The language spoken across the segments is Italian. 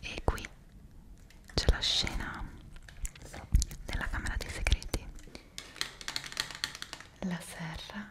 E qui c'è la scena della Camera dei Segreti, la serra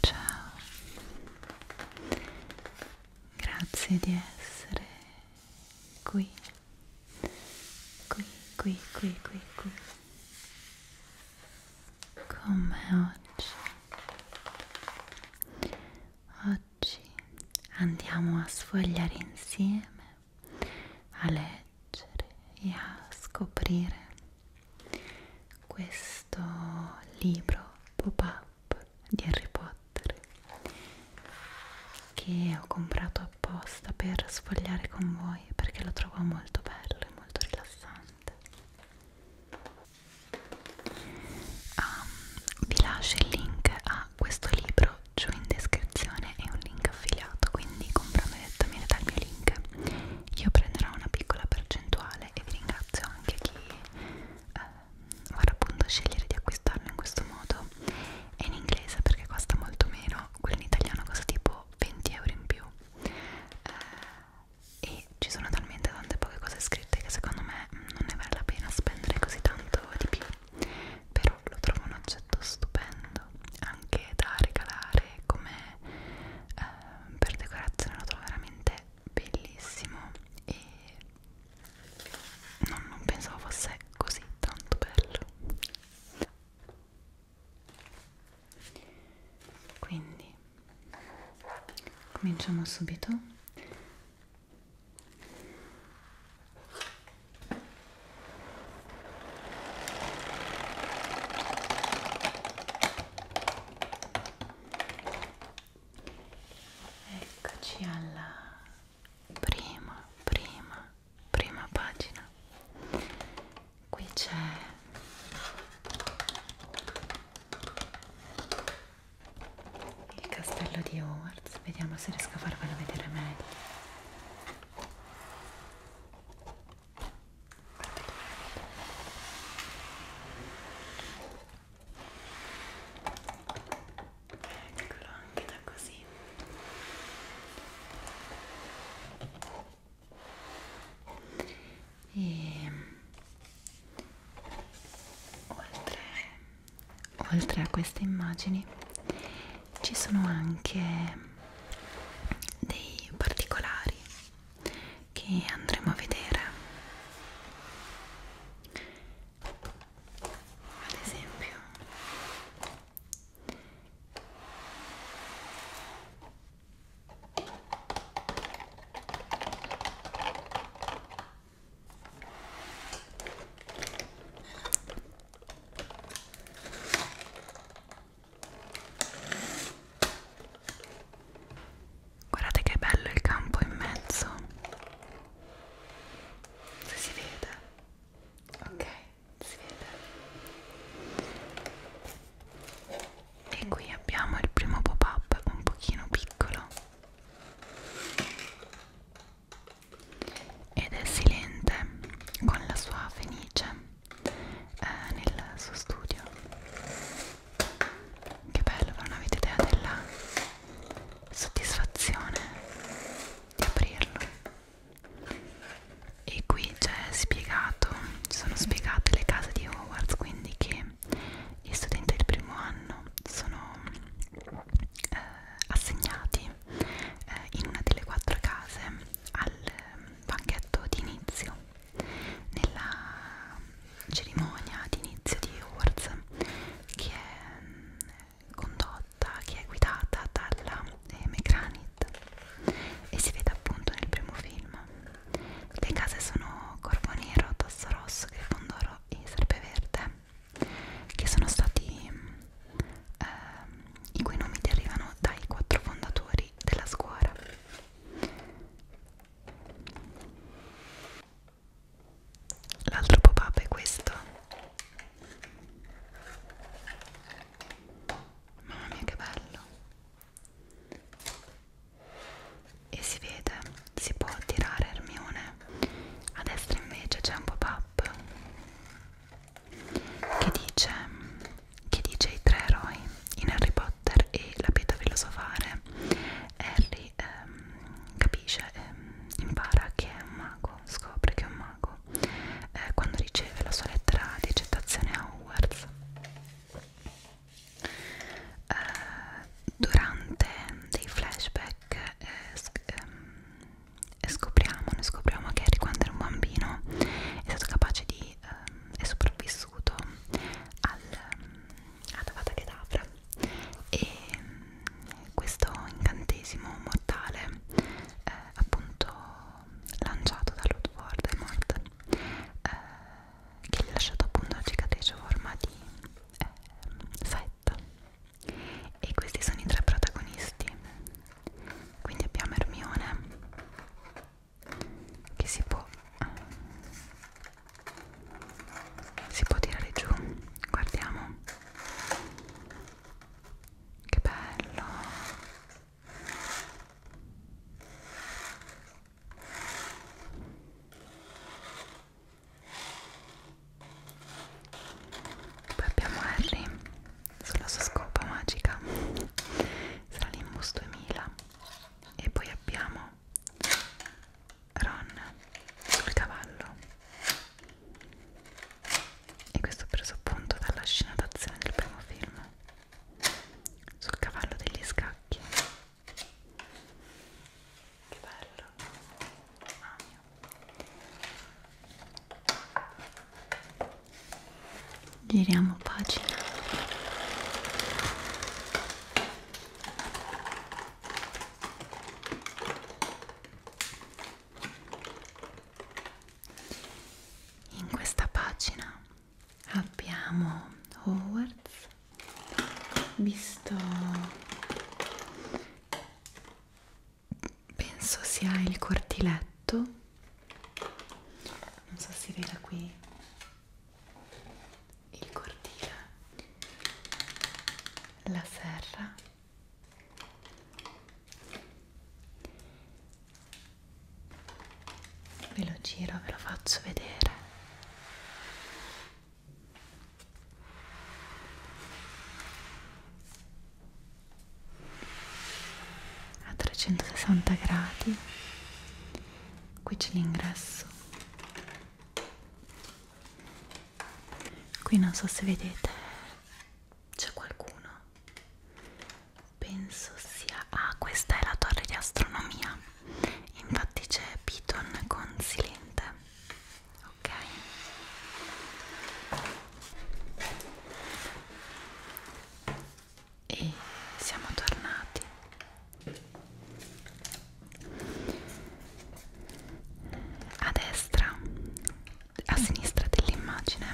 Ciao, grazie di essere qui, qui, qui, qui, qui, qui, con me oggi. Oggi andiamo a sfogliare insieme a leggere e a scoprire questo libro pop-up di Harry Potter che ho comprato apposta per sfogliare con voi perché lo trovo molto bello e molto rilassante um, vi lascio il link a questo libro giù in descrizione è un link affiliato quindi comprando direttamente dal mio link io prenderò una piccola percentuale e vi ringrazio anche chi eh, vorrà appunto scegliere di acquistarlo in questo modo è in inglese perché costa molto meno quello in italiano costa tipo 20 euro in più eh, e ci sono talmente tante poche cose scritte che secondo me non ne vale la pena spendere così tanto di più per libro lo trovo un oggetto stupendo anche da regalare come eh, per decorazione lo trovo veramente bellissimo e non, non pensavo fosse così tanto bello quindi cominciamo subito Eccoci alla prima, prima, prima pagina. Qui c'è il castello di Hogwarts vediamo se riesco a farvelo vedere meglio eccolo anche da così e ehm, oltre oltre a queste immagini ci sono anche dei particolari che andremo a vedere ad esempio Guardate che bello il campo in mezzo. Se si vede. Ok, si vede. E qui abbiamo il primo pop-up un pochino piccolo ed è silente con la sua fenice eh, nel suo studio che bello non avete idea della soddisfazione di aprirlo e qui c'è spiegato ci sono spiegate le case di Hogwarts quindi che gli studenti del primo anno sono eh, assegnati eh, in una delle quattro case al ehm, banchetto di inizio nella cerimonia di inizio di Awards che è mm, condotta, che è guidata dalla eh, McGranit e si vede appunto nel primo film le case sono Corvo Nero, Tosso Rosso, Grifondoro e Serpeverde che sono stati eh, i cui nomi derivano dai quattro fondatori della scuola. L'altro pop-up è questo. Mamma mia che bello! E si vede, si può tirare Hermione. A destra invece c'è un pop-up app che dice che dice i tre eroi in Harry Potter e la pietra filosofale Harry ehm, capisce ehm, impara che è un mago scopre che è un mago eh, quando riceve la sua lettera di accettazione a Hogwarts eh, durante dei flashback eh, ehm, scopriamo, noi scopriamo che Harry quando era un bambino è stato capace di, ehm, è sopravvissuto al, ehm, all'avata Kedavra e ehm, questo incantesimo mortale eh, appunto lanciato da Lord Voldemort eh, che gli ha lasciato appunto la cicatrice forma di eh, fetta e questi sono i tre protagonisti quindi abbiamo Hermione che si può si può tirare giù guardiamo che bello poi abbiamo Harry sulla sua scopa magica sarà l'Imbus 2000 e poi abbiamo Ron sul cavallo e questo ho preso appunto dalla scena d'azione del primo film sul cavallo degli scacchi che bello mamma mia giriamo pagina in questa pagina abbiamo Hogwarts visto penso sia il cortiletto non so si vede qui il cortile la serra ve lo giro ve lo faccio vedere a 360 gradi qui c'è l'ingresso qui non so se vedete c'è qualcuno penso sia ah questa è la torre di astronomia infatti c'è Piton con Silente ok e siamo tornati a destra a sinistra dell'immagine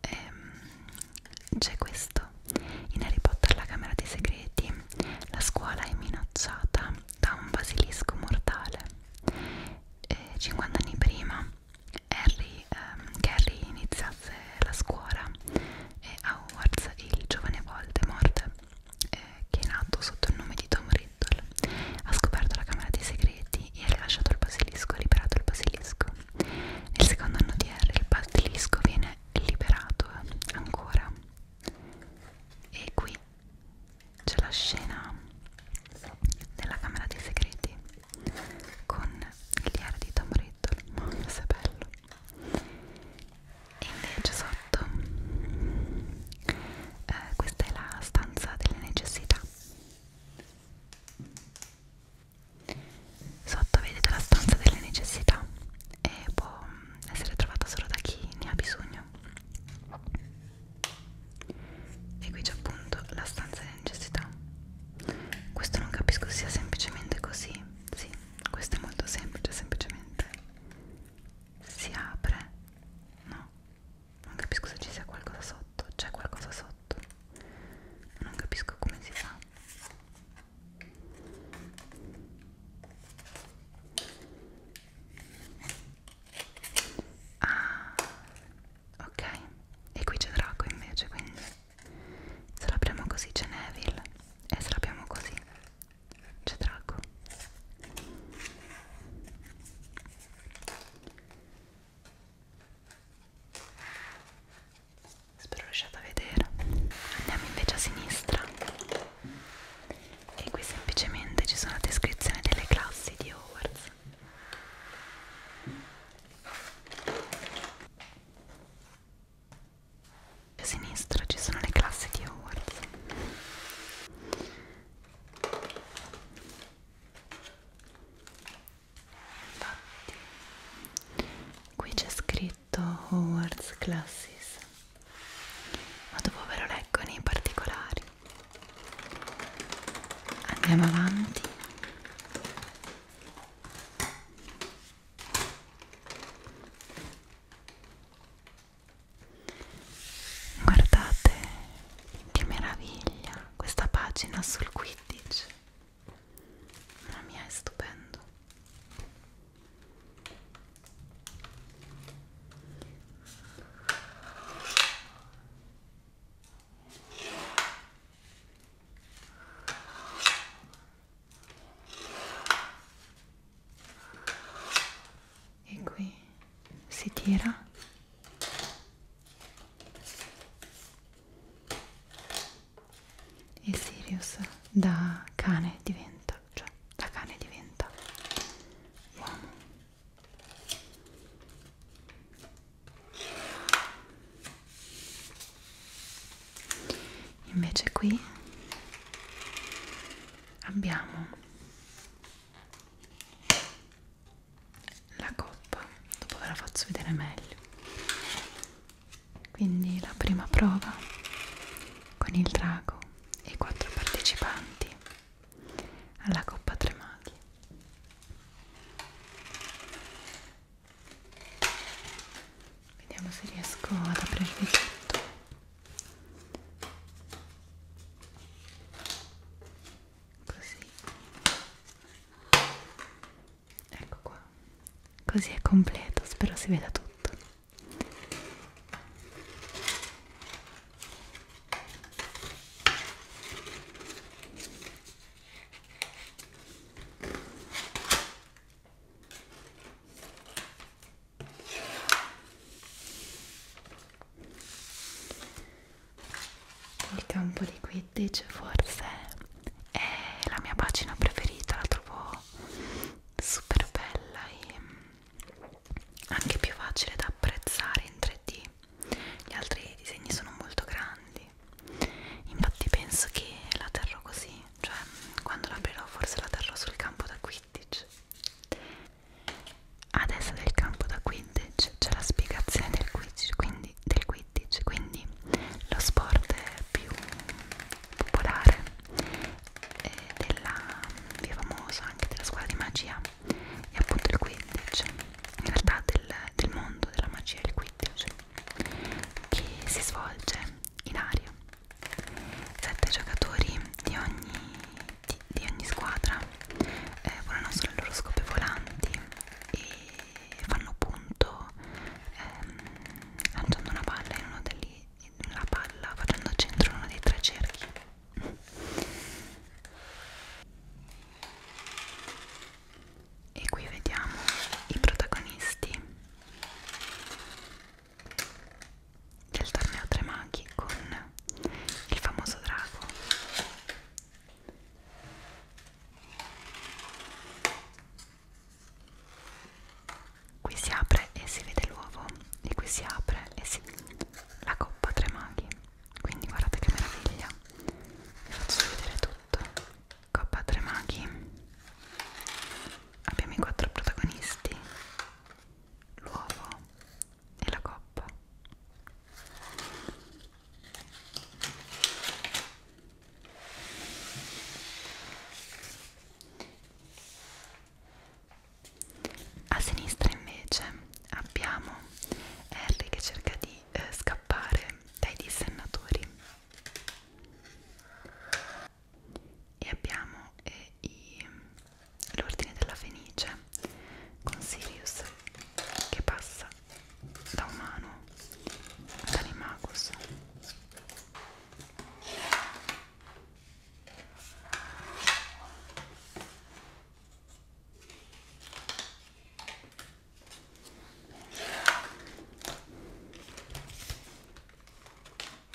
ehm, c'è questo in Harry Potter la camera dei segreti la scuola è minacciata da un basilisco mortale. E 50 anni prima Harry, ehm, che Harry iniziasse la scuola e Hogwarts il giovane Voldemort, eh, che è nato sotto il nome di Tom Riddle, ha scoperto la Camera dei Segreti e ha rilasciato il basilisco, ha liberato il basilisco. Nel secondo anno di Harry il basilisco viene liberato ancora e qui c'è la scena della camera dei segreti con il diario di Tom Riddle mamma se bello e invece sotto eh, questa è la stanza delle necessità sotto vedete la stanza delle necessità e può essere trovata solo da chi ne ha bisogno e qui c'è appunto la stanza di necessità. Questo non capisco sia semplicemente così. Sì, questo è molto semplice, semplicemente si apre. No, non capisco se ci sia qualcosa sotto. C'è qualcosa sotto. Non capisco come si fa. Ah, ok. E qui c'è Draco invece, quindi se l'apriamo così c'è Neville e se l'apriamo così c'è Draco. Spero riusciate a vedere. Andiamo invece a sinistra e qui semplicemente ci sono descrizioni delle classi di Hogwarts a sinistra ci sono le classi di Hogwarts infatti qui c'è scritto Hogwarts Classes ma dopo ve lo leggo nei particolari andiamo avanti guardate che meraviglia questa pagina sul 15 mamma mia è stupendo e qui si tira e Sirius da cane diventa, cioè da cane diventa uomo invece qui abbiamo la coppa dopo ve la faccio vedere meglio quindi la prima prova con il drago e i quattro partecipanti alla Coppa Tre Maghi. Vediamo se riesco ad aprirvi tutto. Così. Ecco qua. Così è completo, spero si veda tutto. Il campo di Quidditch forse è la mia pagina preferita, la trovo super bella e anche più facile da apprezzare in 3D gli altri disegni sono molto grandi infatti penso che la terrò così cioè quando la aprirò forse la terrò sul campo da Quidditch a destra del campo da Quidditch c'è la spiegazione del Quidditch quindi, del Quidditch quindi lo sport più popolare eh, della più famoso anche della scuola di magia è appunto il 15 in realtà del, del mondo della magia il 15 che si svolge in aria sette giocatori di ogni, di, di ogni squadra eh, volano sulle loro scope volanti e fanno punto ehm, lanciando una palla in uno degli la palla facendo centro in uno dei tre cerchi e qui vediamo i protagonisti del torneo Tre Maghi con il famoso drago qui si apre e si vede l'uovo e qui si apre e si la coppa tre maghi quindi guardate che meraviglia vi faccio vedere tutto coppa tre maghi abbiamo i quattro protagonisti l'uovo e la coppa a sinistra invece abbiamo Harry che cerca di eh, scappare dai dissennatori e abbiamo eh, l'ordine della fenice con Sirius che passa da umano ad Animagus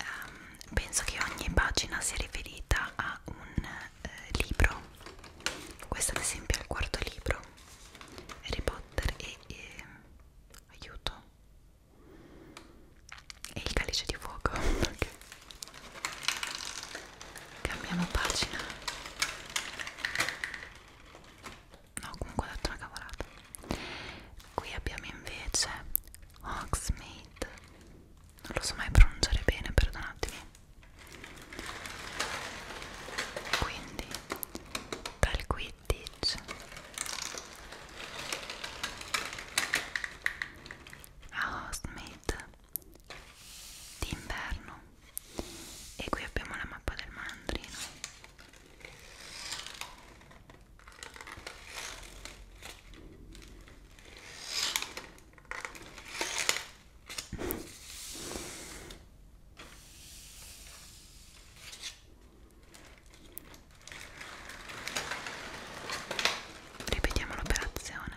Um, penso che ogni pagina sia riferita a un eh, libro. Questo ad esempio è il quarto libro. Harry Potter e... e... Ehm, aiuto e il calice di fuoco okay. cambiamo pagina no comunque ho detto una cavolata qui abbiamo invece Hogsmeade non lo so mai pronunciare bene perdonatemi quindi per Quidditch a Hostmate d'inverno e qui abbiamo la mappa del mandrino ripetiamo l'operazione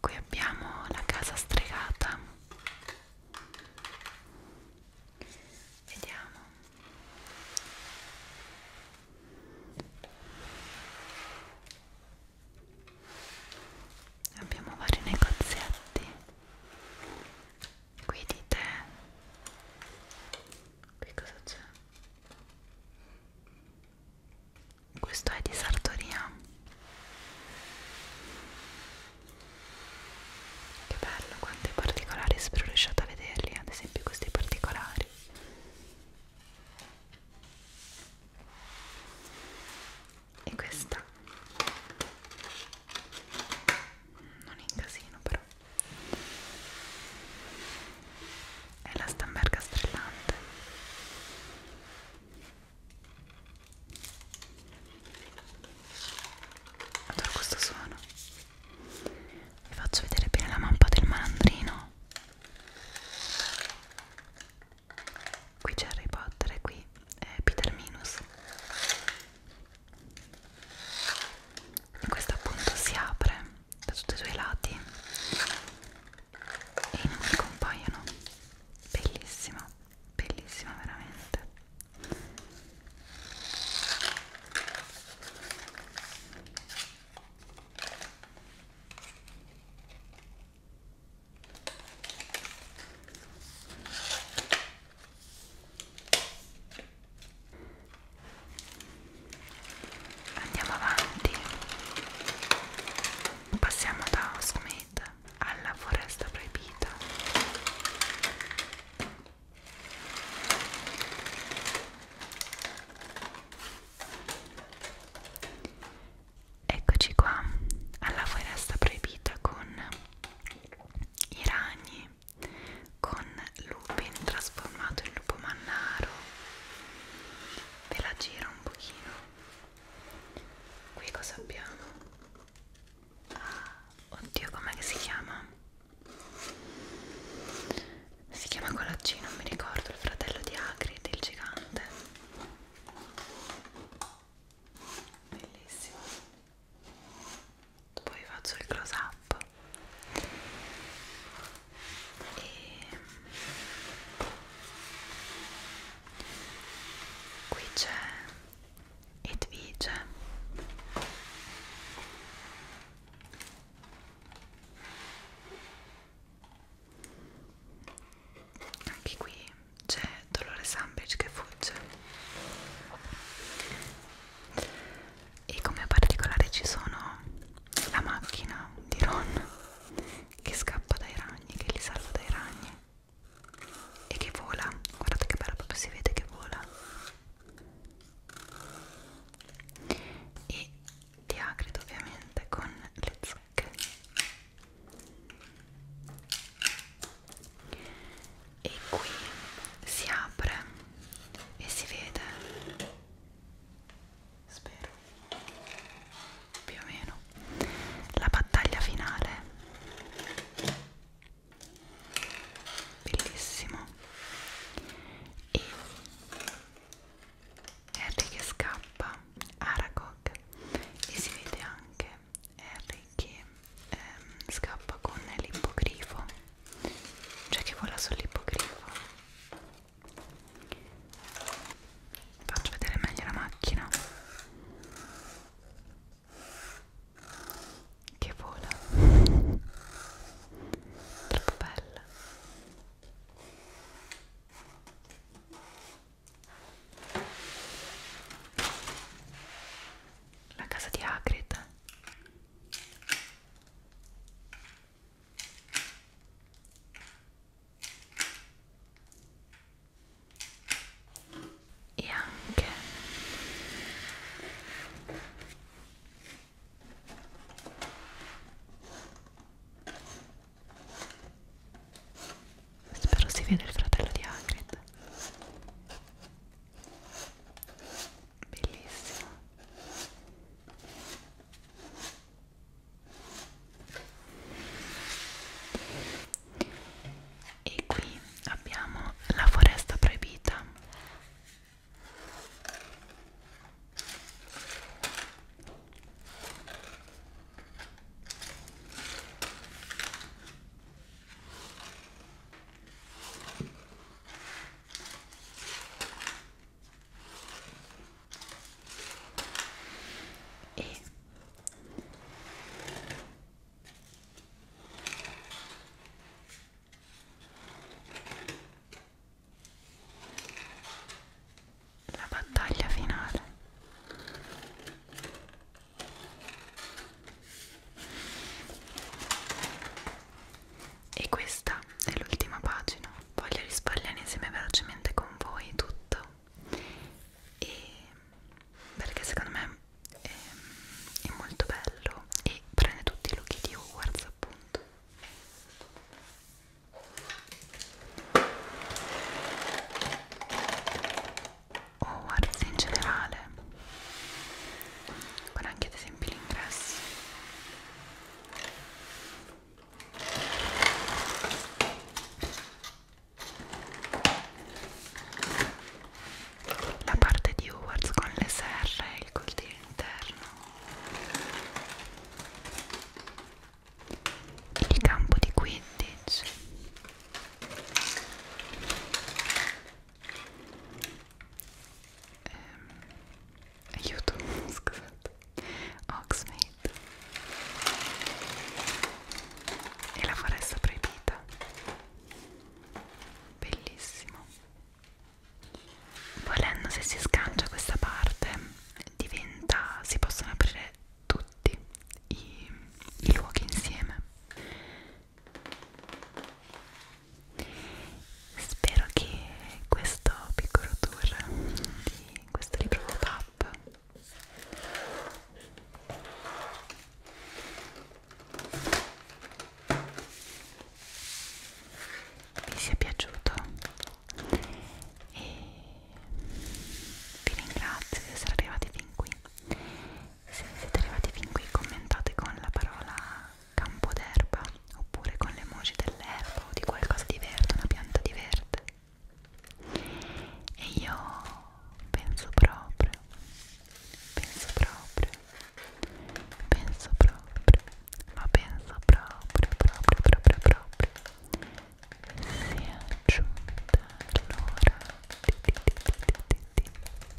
qui abbiamo la casa stregata vediamo Abbiamo vari negozietti qui di te qui cosa c'è? questo è di sartoria che bello quanti particolari spero riusciate a vederli ad esempio questi particolari e questa non in casino però è la stamberga strillante adoro questo suono vi faccio vedere bene la mappa del malandrino qui c'è Harry Potter e qui è Peter Minus questo appunto si apre da tutti i suoi lati e i nomi compaiono. Bellissima, bellissima veramente. Andiamo avanti, passiamo da Hogsmeade alla foresta proibita. Eccoci qua alla foresta proibita con i ragni con Lupin trasformato in lupo mannaro ve la giro un pochino qui cosa abbiamo? Ah, oddio com'è che si chiama? si chiama quella G, non mi ricordo il fratello di Agrid il gigante bellissimo poi faccio il close up e qui c'è Edvige anche qui c'è Dolore Sandwich che fugge e come particolare ci sono la macchina di Ron che scappa dai ragni, che li salva dai ragni e che vola, guardate che bello, proprio si vede che vola e Diacrito ovviamente con le zucche e qui si apre e si vede spero più o meno la battaglia finale bellissimo e Harry che scappa Aragog e si vede anche Harry che ehm, scappa con l'ippogrifo cioè che vola sull'ippogrifo faccio vedere meglio la macchina che vola troppo bella la casa di Hagrid e anche spero si vede il fratello di Hagrid bellissimo e qui abbiamo la foresta proibita e la battaglia finale e questa è l'ultima pagina, voglio risparmiare insieme velocemente con voi tutto e perché secondo me è, è molto bello e prende tutti i look di Hogwarts appunto. Hogwarts in generale con anche ad esempio l'ingresso la parte di Hogwarts con le serre e il cortile interno il campo di Quidditch ehm, aiuto, scusate Oxmate e la foresta proibita bellissimo volendo se si sgancia questa parte diventa si possono aprire tutti i, i luoghi insieme Spero che questo piccolo tour di questo libro pop vi sia piaciuto e vi ringrazio di essere arrivati fin qui se siete arrivati fin qui commentate con la parola campo d'erba oppure con le emoji dell'erba o di qualcosa di verde, una pianta di verde e io penso proprio penso proprio penso proprio ma penso proprio proprio proprio proprio si è giunta l'ora di, di, di, di, di, di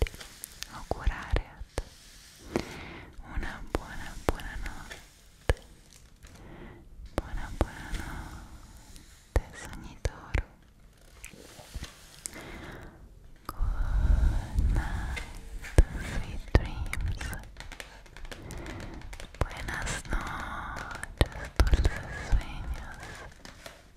ti augurare a te una buona buona notte buona buona notte sognitoro good night sweet dreams buenas noches dulces sueños